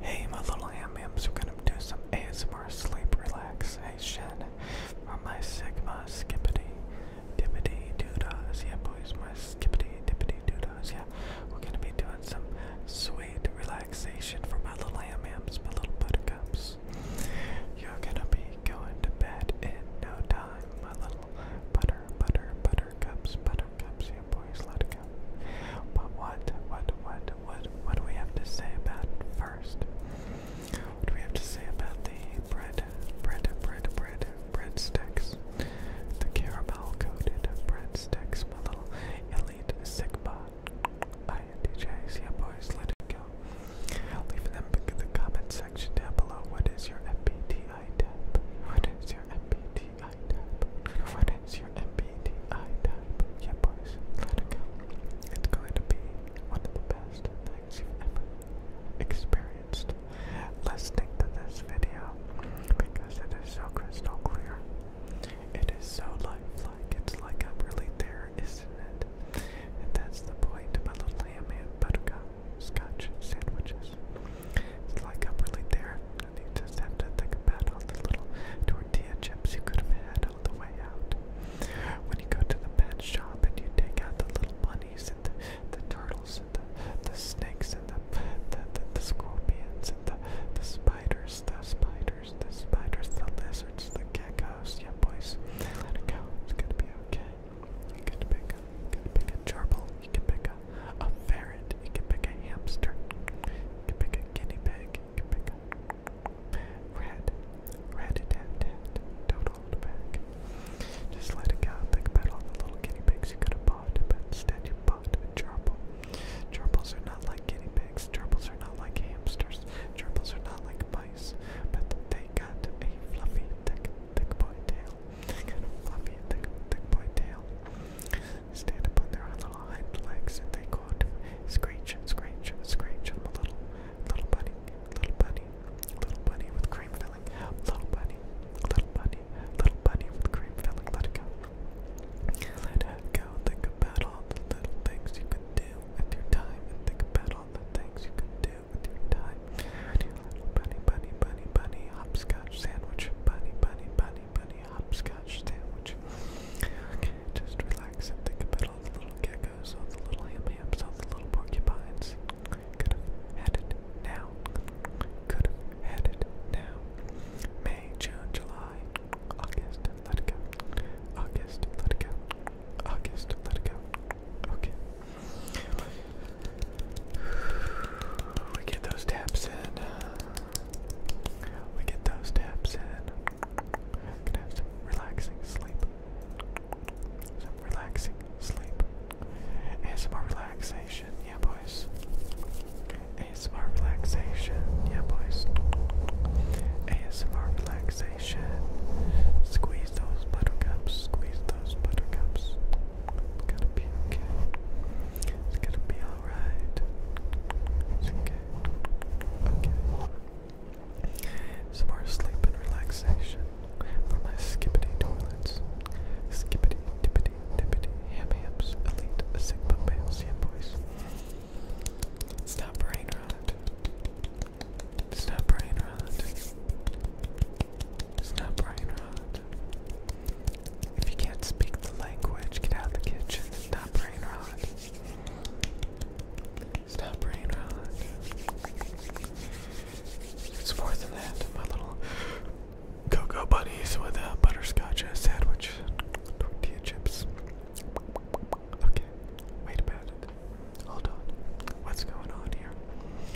Hey, my little am we're gonna do some ASMR sleep relaxation for my Sigma skippity dippity doodas. Yeah, boys, my skippity dippity doodas. Yeah, we're gonna be doing some sweet relaxation for my little am my little buttercups. You're gonna be going to bed in no time, my little butter, butter, buttercups, buttercups. Yeah, boys, let go. But what, what, what, what, what do we have to say about first? What do we have to say about the bread, bread, bread, bread, bread sticks? The caramel coated bread sticks, my little elite Sigma. Hi, DJs, yeah, boys, let it go. Leave them in the comment section down below. What is your MBTI type? What is your MBTI? MBTI type. What is your MBTI type? Yeah, boys, let it go. It's going to be one of the best things you've ever experienced listening to this video because it is so crystal clear. It is so lifelike. It's like I'm really there, isn't it? And that's the point about little ham and buttercup sandwiches. It's like I'm really there and you just have to think about all the little tortilla chips you could have had all the way out. When you go to the pet shop and you take out the little bunnies and the, the turtles and the, the snakes and the the, the, the scorpions and the, the spiders, the spiders, the spiders, the lizards, the geckos, yeah boys, let it go, it's gonna be okay. You can pick a, you can pick a gerbil, you can pick a a ferret, you can pick a hamster, you can pick a guinea pig, you can pick a don't hold back. Just let it go, think about all the little guinea pigs you could have bought, but instead you bought a gerbil. Gerbils are not like guinea pigs, gerbils are not like hamsters, gerbils are not like mice, but they got a fluffy, thick, thick boy tail kind of fluffy, thick, thick boy tail. They stand upon their little legs and they go out to screech, screech, screech. i little, little bunny, little bunny, little bunny with cream filling. Little bunny, little bunny, little bunny with cream filling. Let it go. Let it go. Think about all the little things you can do with your time. And think about all the things you can do with your time. Dylan, bunny, bunny, bunny, bunny, hopscotch sandwich, bunny, bunny, bunny, bunny, hopscotch sandwich. Okay, just relax and think about all the little geckos, all the little ham hams, all the little porcupines. Could have had it now. Could have had it now. May, June, July, August, let it go. August, let it go. August, let it go. Okay. We get those taps in. We get those taps in. some relaxing sleep. Some relaxing sleep. And some more relaxation, yeah, boys. ASMR relaxation, yeah boys. ASMR relaxation. Squeeze those buttercups, squeeze those buttercups. It's gonna be okay. It's gonna be alright. It's okay. Okay. Some more sleep and relaxation for my skippity toilets. Skippity, tippity, tippity, ham hams, elite, sigma males, yeah boys. It's not brain rot. It's brain rot. It's brain rot. If you can't speak the language, get out the kitchen stop brain rot. Stop brain rot. It's more than that. My little cocoa bunnies with a uh, butterscotch uh, sandwich, tortilla chips. Okay, wait about it. Hold on. What's going on here?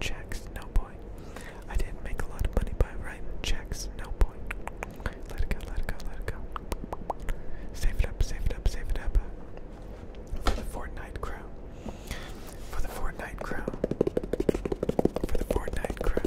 checks, no boy. I didn't make a lot of money by writing checks, no boy. Let it go, let it go, let it go. Save it up, save it up, save it up. Uh, for the Fortnite crown. For the Fortnite crown. For the Fortnite crown.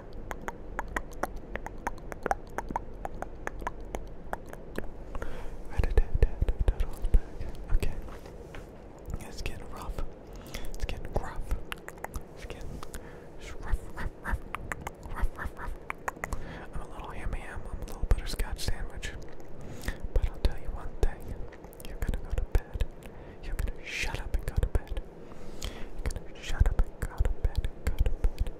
Okay. It's getting rough. It's getting gruff. It's getting rough, rough, rough, rough, rough, rough. I'm a little yummy ham. I'm a little butterscotch sandwich. But I'll tell you one thing. You're gonna go to bed. You're gonna shut up and go to bed. You're gonna shut up and go to bed. Go to bed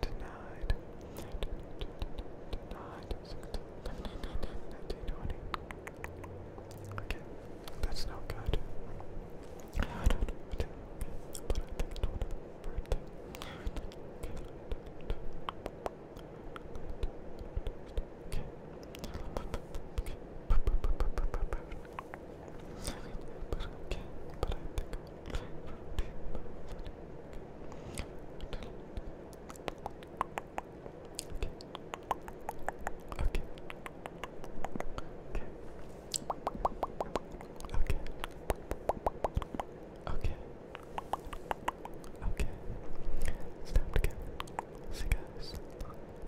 Denied. Denied. 16, 19, 20. Okay, that's not good. I don't know what it but I think it's one birthday. Okay. Okay. But okay, but I think Okay. Okay. Okay. Okay. It's time to go. See you guys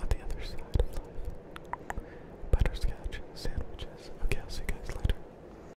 on the other side of life. Butterscotch sandwiches. Okay, I'll see you guys later.